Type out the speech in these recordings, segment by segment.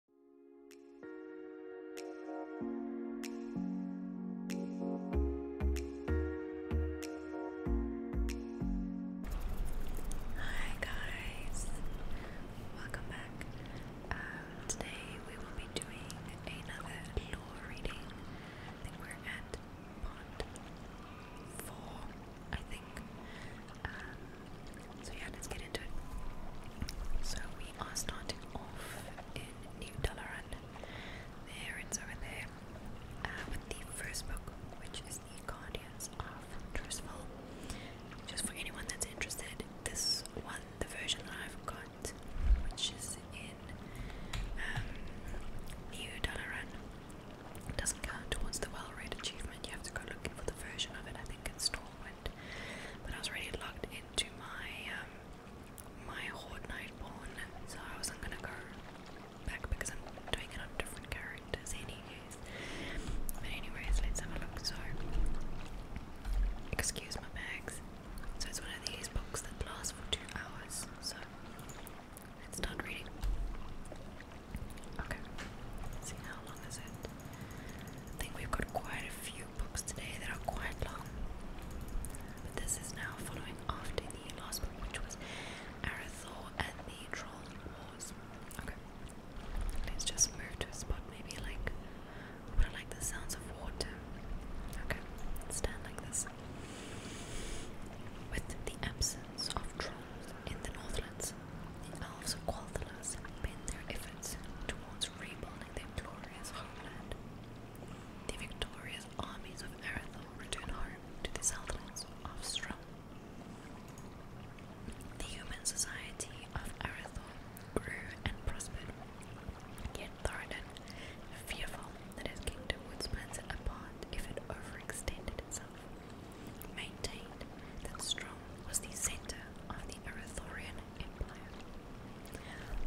Hi guys, welcome back. Um, today we will be doing another lore reading. we're at part four, I think. Um, so yeah, let's get into it. So we are starting off in New Dalaran. There it's over there. Uh, with the first book, which is The Guardians of Trustful. Just for anyone that's interested, this one, the version that I've got, which is in um, New Dalaran, doesn't count towards the well read achievement. You have to go looking for the version of it. I think it's stored but I was already locked into my um, my Horde Night so I wasn't gonna go back because I'm doing it on different characters, anyways. But anyways, let's have a look. So, excuse my bags. So it's one of these books that lasts for two hours. So let's start reading. Okay. see how long is it? I think we've got quite a few books today that are quite long. But this is now following after the last book, which was Arathor and the Troll Wars. Okay. Let's just move to a spot maybe like but I like the sounds of water. Okay, stand like this. With the absence of trolls in the Northlands, the elves of Qualthalas bend their efforts towards rebuilding their glorious homeland. The victorious armies of Erenthal returned home to the southlands of Strum. The human society of Erenthal grew and prospered, yet Thoradin, fearful that his kingdom would splinter apart if it overextended itself, maintained that Strum was the center of the Erethorian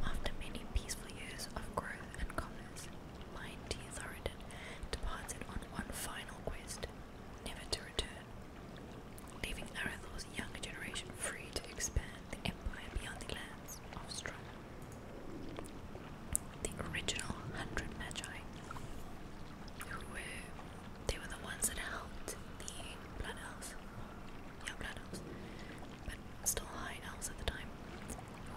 after many peaceful years of growth and commerce, mighty Thoradin departed on one final quest, never to return, leaving Arathor's younger generation free to expand the empire beyond the lands of Strom. The original hundred magi, were they were the ones that helped the blood elves. Yeah, blood elves. But still high elves at the time.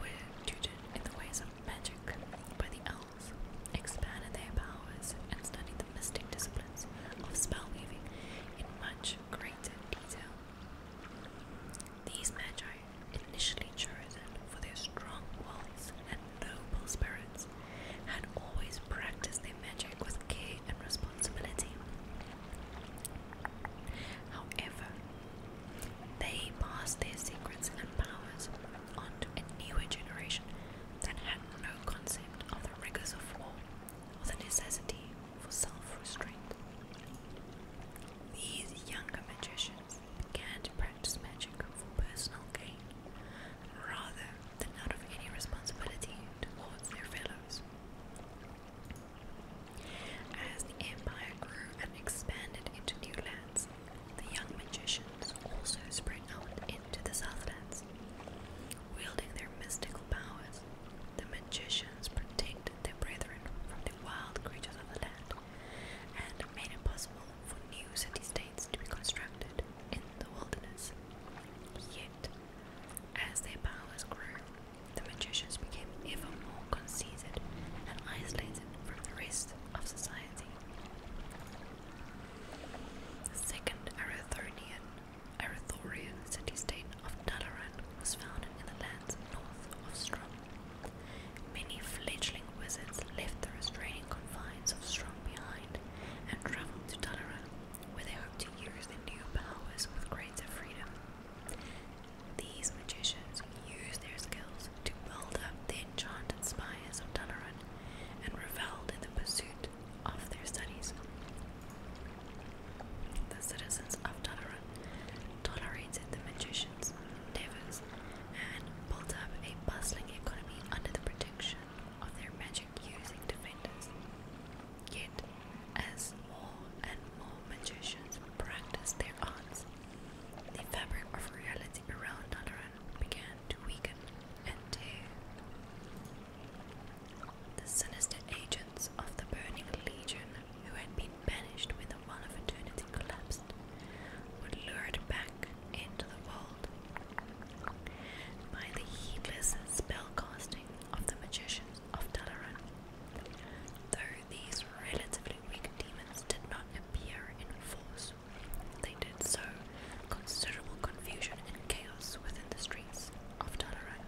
Were tutored in the ways of magic by the elves, expanded their powers, and studied the mystic disciplines of spell weaving in much greater detail. These magi, initially chosen for their strong wills and noble spirits, had always practiced magic with care and responsibility. However, they passed their secrets and powers on to a newer generation that had no concept of the rigors of war or the necessity for self restraint. These younger magicians began to practice magic for personal gain rather than out of any responsibility towards their fellows. As the empire grew and expanded into new lands, the young magicians also spread out into the southlands. Wielding their mystical powers, the magicians protected their brethren from the wild creatures of the land and made it possible for new city states to be constructed in the wilderness. Yet, as their powers grew, the magicians became ever more conceited and isolated from the rest of society. The second Arathorian, city-state of Talaran was founded in the lands north of Strom. Many fledgling wizards left the restraining confines of Strom behind and travelled to Talaran where they hope to use the new powers with greater freedom. These magicians used their skills to build up the enchanted spires of Dalaran and revelled in the pursuit of their studies. The citizens of Dalaran tolerated the magicians' endeavors and built up a bustling economy under the protection of their magic using defenders. Yet, as more and more magicians practiced their arts, the fabric of reality around Nadaran began to weaken and The sinister agents of the Burning Legion, who had been banished when the Wall of Eternity collapsed, were lured back into the world by the heedless spellcasting of the magicians of Dalaran. Though these relatively weak demons did not appear in force, they did so considerable confusion and chaos within the streets of Dalaran.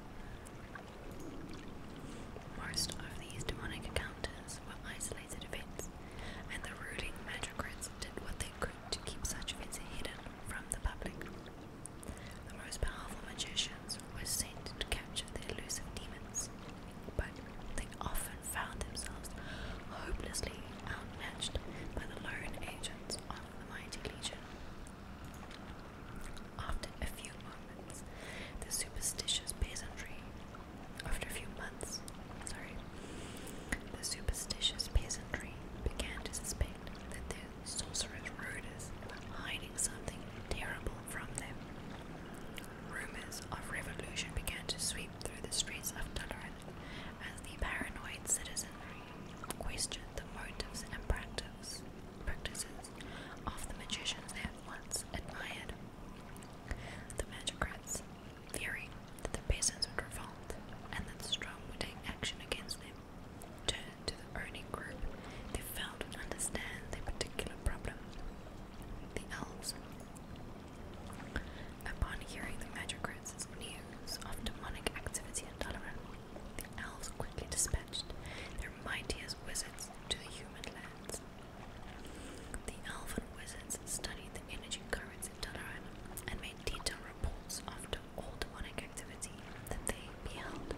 Most of these demonic encounters were isolated events, and the ruling magistrates did what they could to keep such events hidden from the public. The most powerful magicians were sent to capture the elusive demons, but they often found themselves hopelessly outmatched by the lone agents of the mighty legion. After a few moments, the superstitious peasantry. After a few months, sorry, the superstitious peasantry began to suspect that their Sorcerer's rulers were hiding something terrible from them. Rumors of revolution began to sweep through the streets of Dalaran as the paranoid citizens questioned the motives and practice, practices of the magicians they had once admired. The magicrats, fearing that the peasants would revolt and that the strong would take action against them, to the earning group, they failed to understand the particular problem. The elves, upon hearing the Magicrats' news of demonic activity in Dalaran, the elves quickly dispatched their mightiest wizards to the human lands. The elven wizards studied the energy currents in Dalaran and made detailed reports of them all demonic activity that they beheld.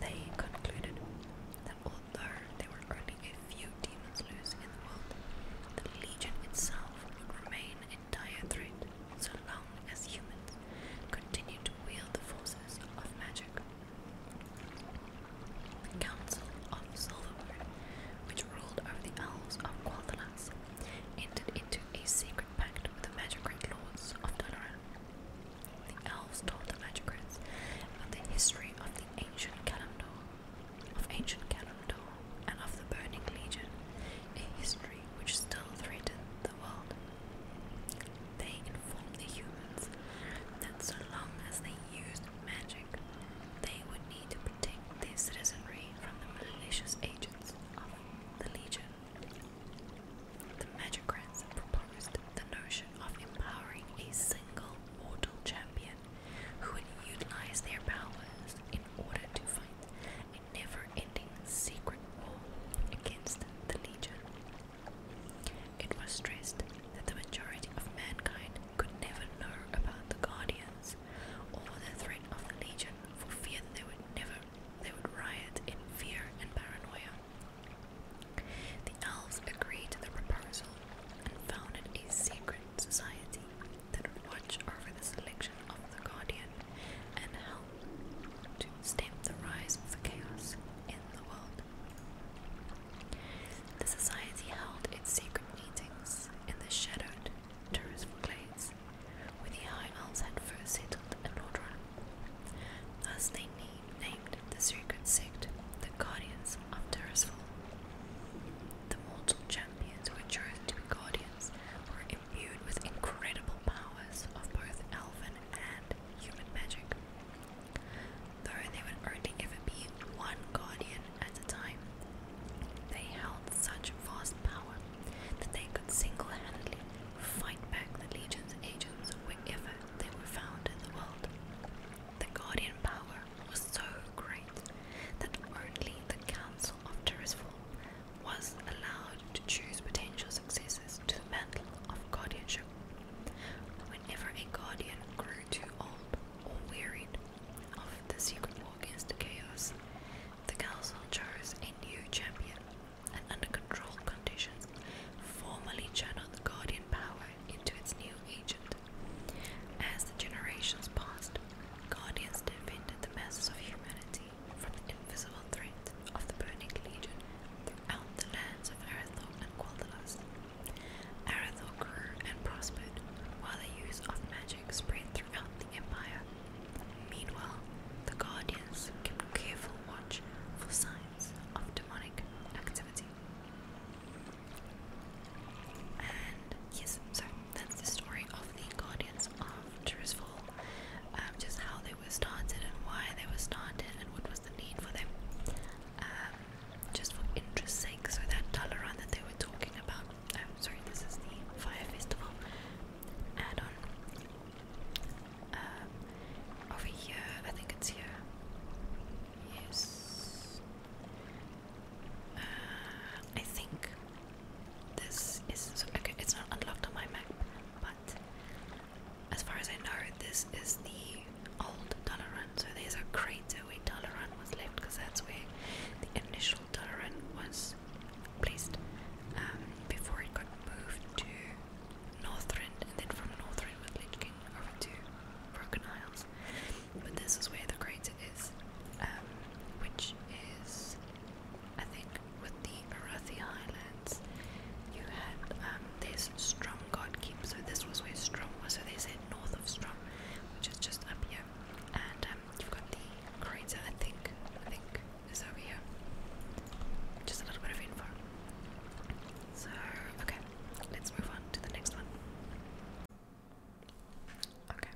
They concluded that although there were only a few demons loose in the world, the Legion itself would remain in dire threat so long as humans continued to wield the forces of magic. The Council of Silverwood, which ruled over the elves of Quathalas, entered into a secret pact with the magic great lords of Dalaran. The elves told the magistrates about the history of the ancient Kalimdor, of ancient Kalimdor, and of the Burning Legion, a history which still threatened the world. They informed the humans that so long as they used magic, they would need to protect their citizenry from the malicious agents of the Legion. The Magicrats proposed the notion of empowering a single mortal champion who would utilize their powers in order to fight a never ending secret war against the Legion. It was stressed that the majority of mankind could never know about the Guardians or the threat of the Legion for fear that they would never they would riot in fear and paranoia. The elves agreed to the proposal and founded a secret society that would watch over the selection of the Guardian and help to stem the rise of the chaos in the world. The society held its secret meetings in the shadowed, terraced glades, where the High Elves had first settled in order Thus they named the sacred sect the Guardians of Terrasful. The mortal champions who were chosen to be guardians were imbued with incredible powers of both elven and human magic. Though they would only ever be one guardian at a time, they held such vast power that they could single handedly fight back the Legion's agents wherever they were found in the world. The Guardian power was so great that only the Council of Jerusalem was allowed to choose potential successors to the mantle of guardianship. Whenever a guardian grew too old or wearied of the secret war against the chaos, the council chose a new champion and under controlled conditions, formally channel the Guardian power into its new agent. As the generations passed, Guardians defended the masses of humanity from the invisible threat of the Burning Legion throughout the lands of Arathor and Qualdalas. Arathor grew and prospered, while the use of magic spread throughout the Empire. Meanwhile, the Guardians kept careful watch for signs of demonic activity. And yes, so that's the story of the Guardians of Jerusalem, um, just how they were started and why they were started and what was the need for them, um, just for interest's sake. So that Dalaran that they were talking about, um, sorry, this is the Fire Festival add-on. Um, over here, I think it's here. Yes. Uh, I think this is okay. It's not unlocked on my map, but as far as I know, this is the old dollar So there's a crater where dollar was left, because that's where the initial dollar was placed um, before it got moved to Northrend, and then from Northrend we're King over to Broken Isles. But this is where the crater is, um, which is, I think, with the Arathi Highlands. You had um, there's keeps. so this was where Strom was. So they said north of Strom, which is just up here, and um, you've got the crater. I think, I think is over here. Just a little bit of info. So, okay, let's move on to the next one. Okay,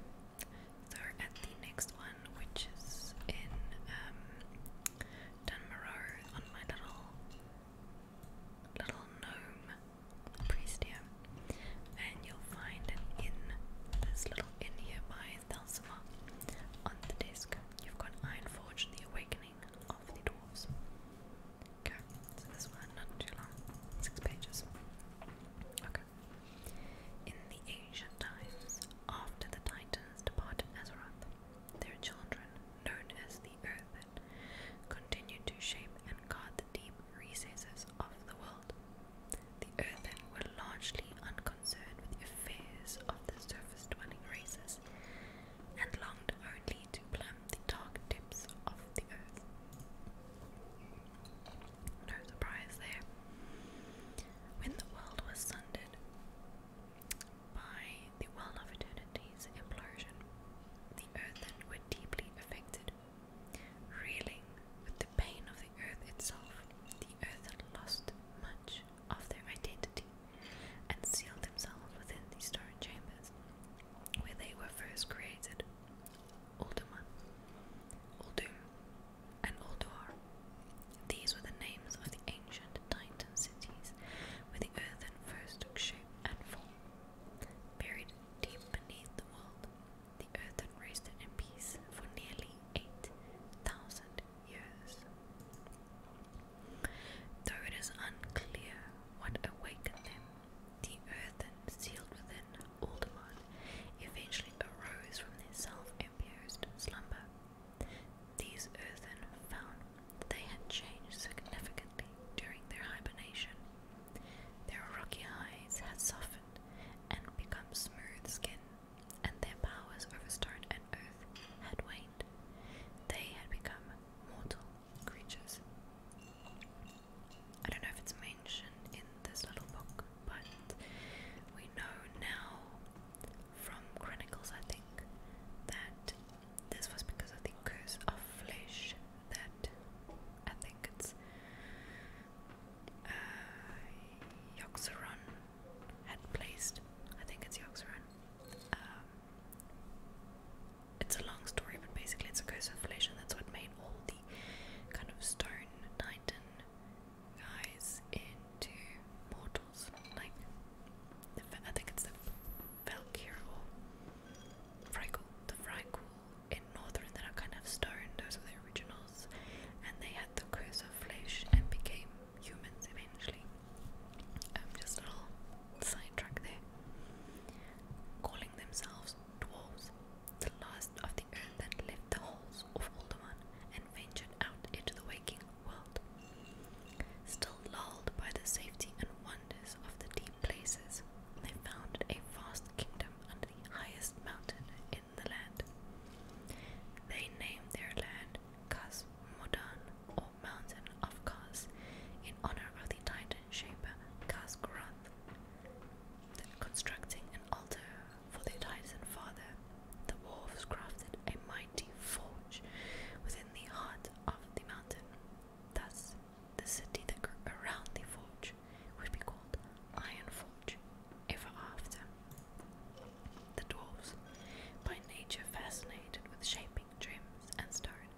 so the next one, which is in um, on my little little gnome priest and you'll find an inn, this little inn here by Thelsima. On the desk, you've got Ironforge, the Awakened Okay, so this one, not too long, six pages. Okay. In the ancient times, after the Titans departed Azeroth, their children, known as the Earthen, continued to shape and guard the deep recesses of the world. The Earthen were largely unconcerned with the affairs of the surface dwelling races and longed only to plumb the dark depths of the earth. No surprise there. When the world was sundered by the well of eternity's implosion, the earthen were deeply affected, reeling with the pain of the earth itself. The earthen lost much of their identity and sealed themselves within the stone chambers where they were first created. Ultima, Uldum, and Ulduar. These were the names of the ancient Titan cities where the earth first took shape and form. Buried deep beneath the world, the earth had rested in peace for nearly 8,000 years. Though it is unclear what awakened them, the earth sealed within Alderman eventually arose from their self-imposed slumber. These earthen found that they had changed significantly during their hibernation. Their rocky hides had softened and become smooth skin, and their powers over stone and earth had waned. They had become mortal creatures. I don't know if it's mentioned in this little book, but we know now from Chronicles, I that this was because of the curse of flesh that I think it's uh, had placed. I think it's Yoxoron. Um, it's a long story, but basically it's a ghost inflation. That's what made all the kind of stone titan guys into mortals. Like, the, I think it's the Valkyr or Frykul, the Frykul in Northern that are kind of stone. Those were the originals, and they had the curse of flesh and became humans eventually. I'm um, just a little sidetrack there. Calling themselves dwarves, the last of the earth that left the halls of Alderman and ventured out into the waking world. Still lulled by the safety and wonders of the deep places, they found a vast kingdom under the highest mountain in the land. They named their land Kas or mountain of Kaz, in honor of the titan shaper Kazgurath, constructing an altar for their titan father. The dwarves crafted a mighty forge within the heart of the mountain. Thus, the city that grew around the forge would be called Iron Forge ever after. The dwarves, by nature fascinated with shape climbing and stern,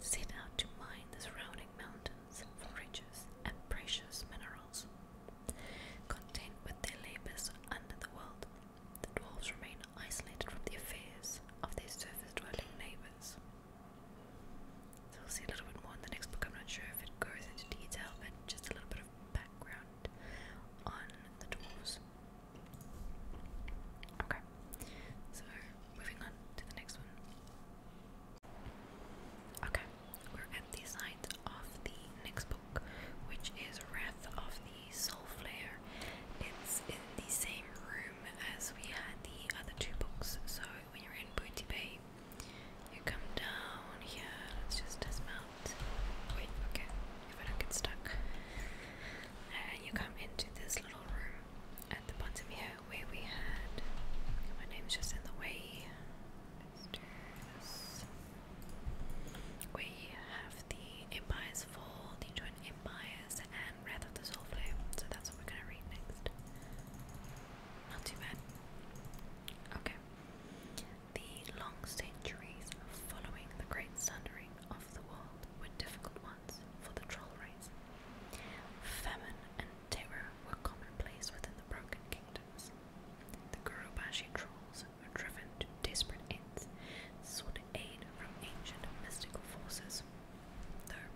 set out to mine the surrounding mountains for riches and precious minerals. Content with their labors under the world, the dwarves remain isolated from the affairs of their surface-dwelling neighbors. So we'll see a little bit more in the next book. I'm not sure if it goes into detail, but just a little bit of background on the dwarves. Okay, so moving on to the next one. Okay, we're at the side of the next book, which is Wrath of the Soulflare. It's in the same room as we had the other two books, so when you're in Booty Bay, you come down here. Let's just dismount. Wait, okay, if I don't get stuck and you come into this little room at the bottom here where we had. My name's just in the way. Let's this. We have the Empire's Fall, the Joint Empires, and Wrath of the Soul Flame. So that's what we're gonna read next. Not too bad. Okay. The long centuries following the great sundering of the world were difficult ones for the troll race. Famine and terror were commonplace within the Broken Kingdoms. The Gurubashi trolls were driven to desperate ends, sought aid from ancient mystical forces. Though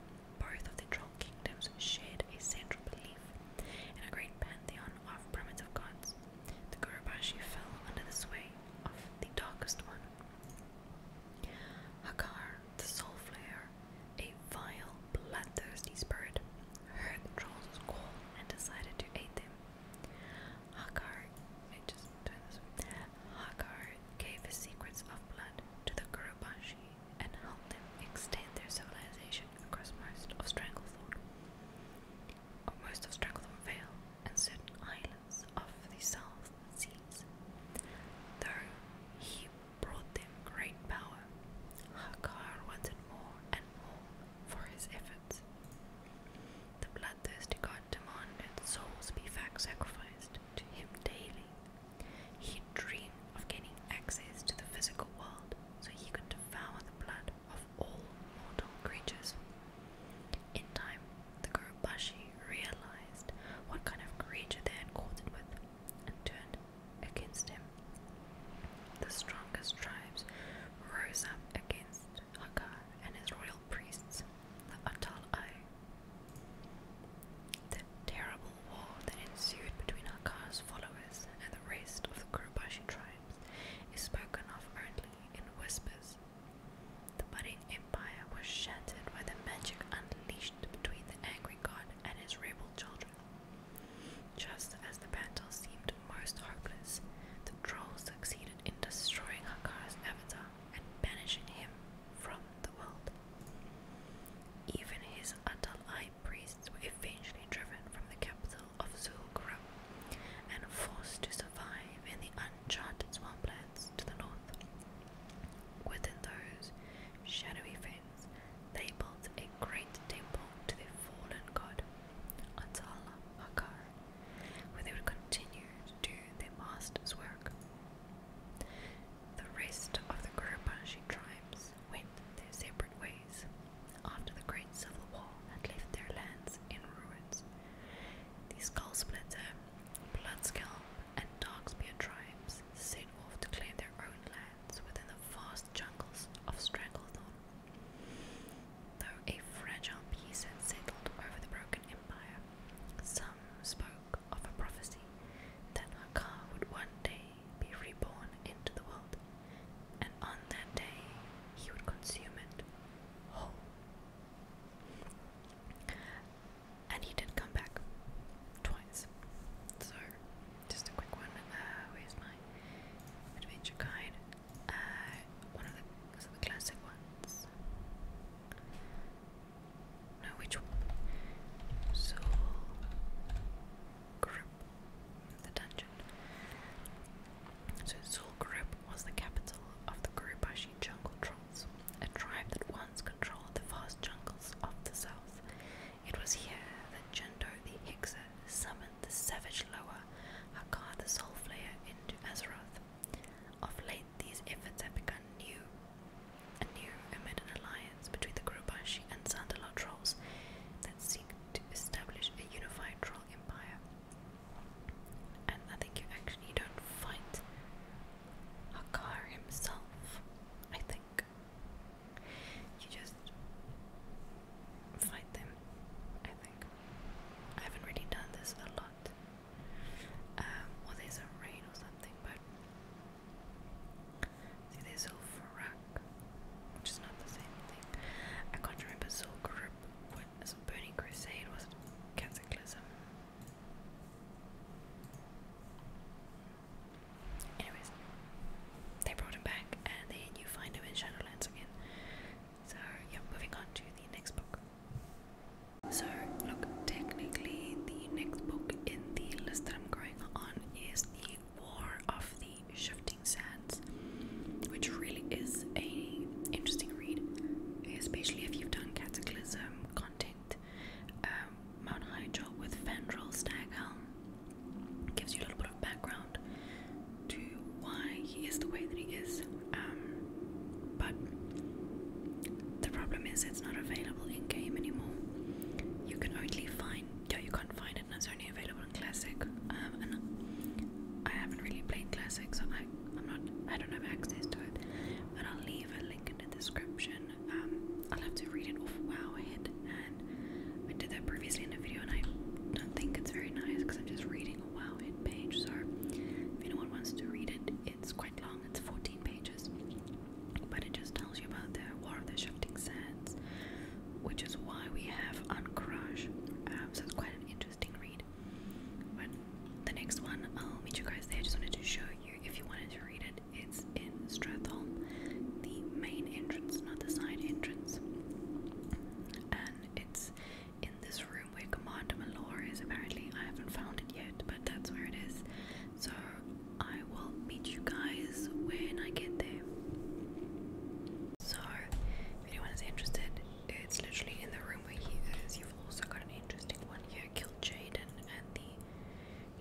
both of the troll kingdoms shared a central belief in a great pantheon of primitive gods, the Gurubashi fell under the sway of the darkest one, Hakar, the soul a vile, bloodthirsty spirit, heard the call and decided to aid them. Hagar, just turned this way. gave his secrets of blood to the Kurubashi and helped them extend their civilization across most of Stranglethorn. Most of Stranglethorn Vale and certain islands of the South Seas. There he brought them great power. Hagar wanted more and more for his efforts. The bloodthirsty god demanded souls be sacrificed to him daily. He dreamed of gaining access to the physical world so he could devour the blood of all mortal creatures. In time, the Kurubashi realized what kind of creature they had quartered with and turned against him. The strongest tribes rose up against Haka and his royal priests, the Atal'ai. The terrible war that ensued between Haka's followers and the rest of the Kurubashi tribes is spoken of only in whispers the budding empire was shattered by the magic unleashed between the angry god and his rebel children. Just as the battle seemed most hopeless, the trolls succeeded in destroying Hakar's avatar and banishing him from the world. Even his Atalai priests were eventually driven from the capital of Zul'Gurub and forced to survive in the enchanted swamplands to the north. Within those shadowy fens, they built a great temple to the fallen god, Atala Makar, where they would continue to do their master's work. The rest of the Kurupanshi tribes went their separate ways after the Great Civil War had left their lands in ruins. The skull splitter Bloodscalp and Darkspear tribes set off to claim their own lands within the vast jungles of Stranglethorn. Though a fragile peace had settled over the broken empire, some spoke of a prophecy that Hakar would one day be reborn into the world, and on that day he would consume it whole and he did come back twice. So, just a quick one. Uh, where's my adventure guide? Uh, one of the classic ones? No, which one? So, the dungeon. So Zulgrip was the capital of the Gurubashi jungle tribe a tribe that once controlled the vast jungles of the south. It was here that Jendo the Hyksa summoned the savage Loa, Hakar the Soulflayer, into Azeroth. Of late, these efforts have begun new, anew amid an alliance between the Grubashi and Sandalot trolls that seek to establish a unified troll empire. And I think you actually don't fight Akar himself, I think. You just fight them, I think. I haven't really done this a lot. Um, well, there's a rain or something, but see, there's Zulfarak, which is not the same thing. I can't remember Zulgrip. What is Burning Crusade? Was it Cataclysm? Anyways, they brought him back, and then you find him in Shadowlands again. So, yeah, moving on to the next book. So, look, technically, the next book in the list that I'm going on is The War of the Shifting Sands, which really is a interesting read, especially if you've done Cataclysm content White, um, Mount Hyjal with Fendral Staghelm. Gives you a little bit of background to why he is the way that he is. Um, but the problem is it's not available in game anymore. You can only find yeah, you can't find it and it's only available in classic. Um, and I haven't really played classic so I I'm not I don't have access to it. But I'll leave a link in the description. Um, I'll have to read it off Wowhead, and I did that previously in a video, and I don't think it's very nice because I'm just reading a Wowhead page. So if anyone wants to read it, it's quite long. It's 14 pages, but it just tells you about the War of the Shifting Sands, which is why we have Anchorage. Um, so it's quite an interesting read. But the next one, I'll meet you guys there. I just wanted to show you if you wanted to read it, it's in Stratholm, the main entrance, not the side entrance. And it's in this room where Commander Malor is apparently. I haven't found it yet, but that's where it is. So I will meet you guys when I get there. So if anyone is interested, it's literally in the room where he is. You've also got an interesting one here, Kill Jaden and the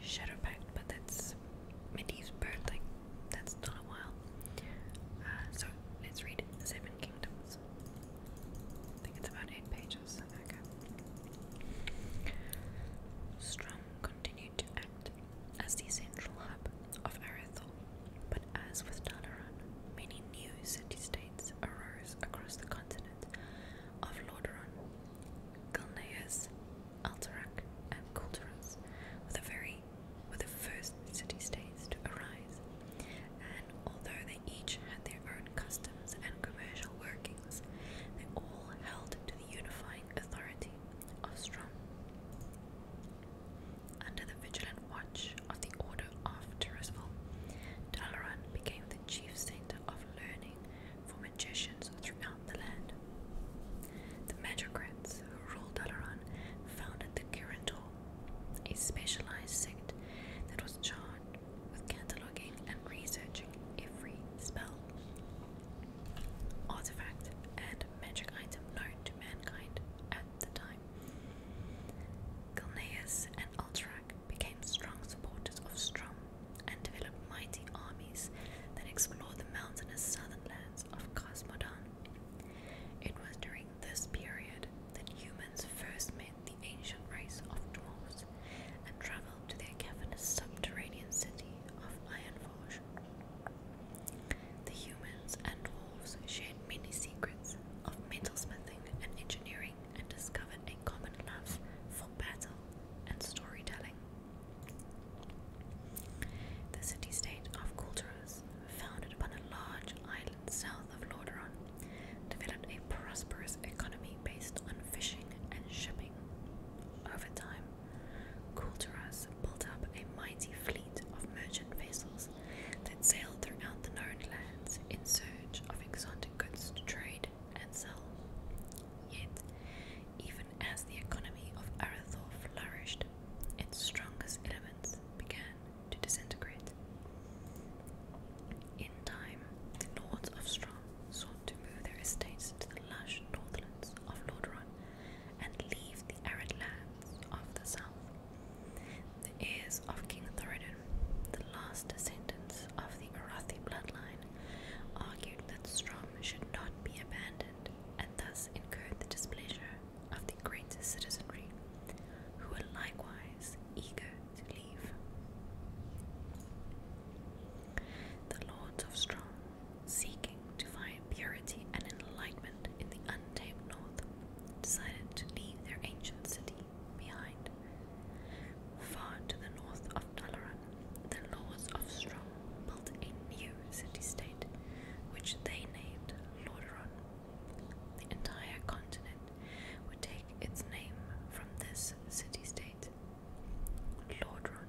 Shadow Pact, but that's Medivh's like, that's not a while. Uh, so, let's read Seven Kingdoms. I think it's about eight pages. Okay. Strong continued to act as the central hub of Arathol, but as with Dalaran, many new city states arose across the continent of Lordaeron Gilneas, Alterac, and Calderas were the very were the first city-states to arise, and although they each had their own customs and commercial workings, they all held to the unifying authority of Strom. Under the vigilant watch of the Order of Jerusalem, Dalaran became the chief center of learning for magicians throughout the land. The Magocrats who ruled Dalaran founded the Kirintor, a specialized sect that was charged with cataloging and researching every spell, artifact, and magic item known to mankind at the time. Gilneas and Ultrak became strong supporters of Strom and developed mighty armies that explored the mountainous southern lands of Cosmodon. It was during this period that humans first met the ancient race of dwarves and traveled to their cavernous subterranean city of Ironforge. The humans and dwarves shared many secrets of metalsmithing and engineering, and discovered a common love for battle and storytelling. The city state of Kulturas, founded upon a large island south of Lauderon, developed a prosperous economy based on fishing and shipping. Over time, Kulturas built up a mighty fleet of merchant vessels that sailed throughout the known lands in search of exotic goods to trade and so, Yet, even as the economy of Arathor flourished, its strongest elements began to disintegrate. In time, the lords of Strom sought to move their estates to the lush northlands of Lordaeron and leave the arid lands of the south. The heirs of King Thoradin, the last descendants of the Arathi bloodline, argued that Strom should not be abandoned and thus incurred the displeasure of the greatest citizenry, who were likewise eager to leave. The lords of Strom, seeking to find purity and enlightenment in the untamed north, decided to leave their ancient city behind. Far to the north of Dalaran, the lords of Strong built a new city-state, which they named Lordaeron. The entire continent would take its name from this city-state. Lordaeron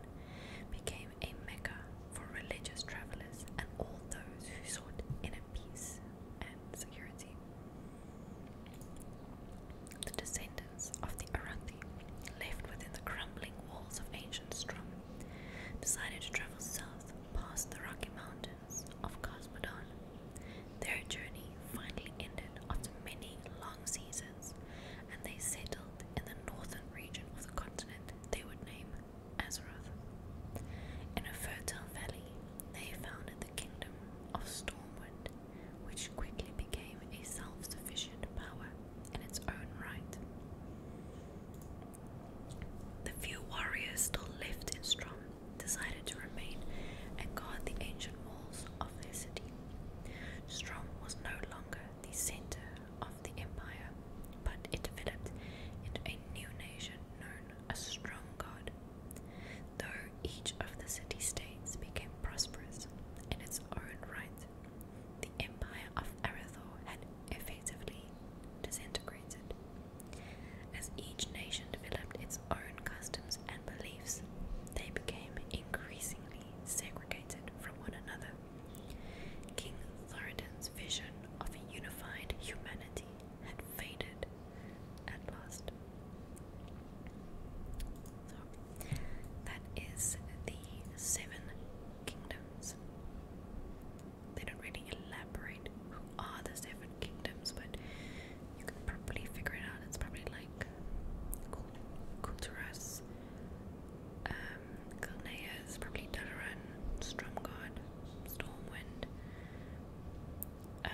became a mecca for religious travelers and all those who sought inner peace and security. The descendants of the Arathi lived within the crumbling walls of ancient Strom, decided to travel south past the Rocky Mountains of Cosmodon. Their journey finally ended after many long seasons, and they settled in the northern region of the continent they would name Azeroth. In a fertile valley, they founded the kingdom of Stormwind which quickly became a self sufficient power in its own right. The few warriors still left in Strom decided to remain and guard the ancient walls of their city. Strom was no longer the center of the empire, but it developed into a new nation known as Stromgard. Though each of the city states became prosperous in its own right, the empire of Arathor had effectively disintegrated, as each nation developed its own customs and beliefs. They became increasingly segregated from one another. King Thoradin's vision of a unified humanity had faded at last that is the seven kingdoms. They don't really elaborate who are the seven kingdoms, but you can probably figure it out. It's probably like Kulturas, um, Kilneas, probably Dalaran, Stromgard, Stormwind. Um,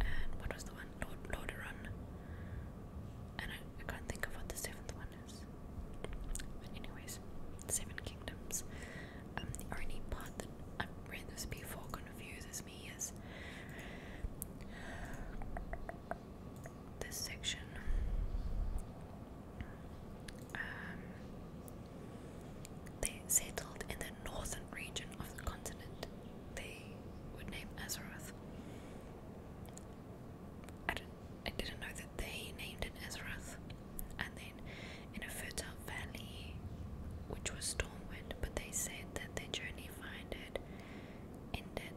and what was the one? Lord Lordaeron. And I, I can't think of what the seventh one is. But anyways, Seven Kingdoms. Um, the only part that i read this before confuses me is this section. Um, they settled in the northern region of the continent. They would name Azeroth. I, didn't know that they named it Ezrath. And then in a fertile valley, which was Stormwind, but they said that their journey finded ended,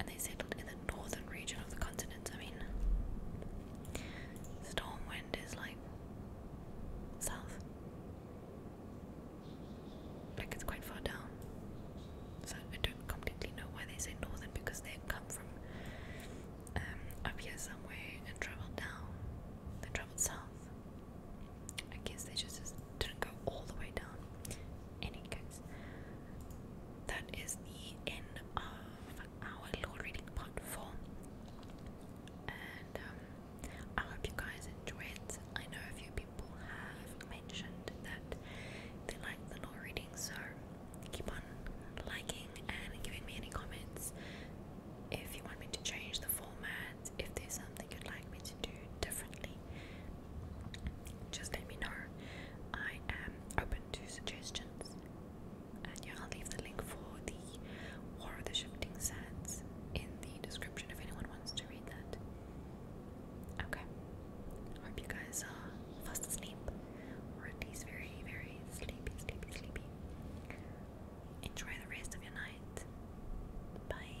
and they settled in the northern region of the continent. I mean, Stormwind is like south. Like it's quite far down. So I don't completely know why they say northern because they come from um, up here somewhere and travelled down. They travelled south. I guess they just, didn't go all the way down. Any that is the end of our law reading part four. And um, I hope you guys enjoyed. I know a few people people have mentioned that they like the law reading, so keep on liking and giving me any comments if you want me to change the format, if there's something you'd like me to do differently. Just let me know. I am open to suggestions. And yeah, I'll leave the link for the War of the Shifting Sands in the description if anyone wants to read that. Okay. Hope you guys are uh, fast asleep, or at least very, very sleepy, sleepy, sleepy. Enjoy the rest of your night. Bye.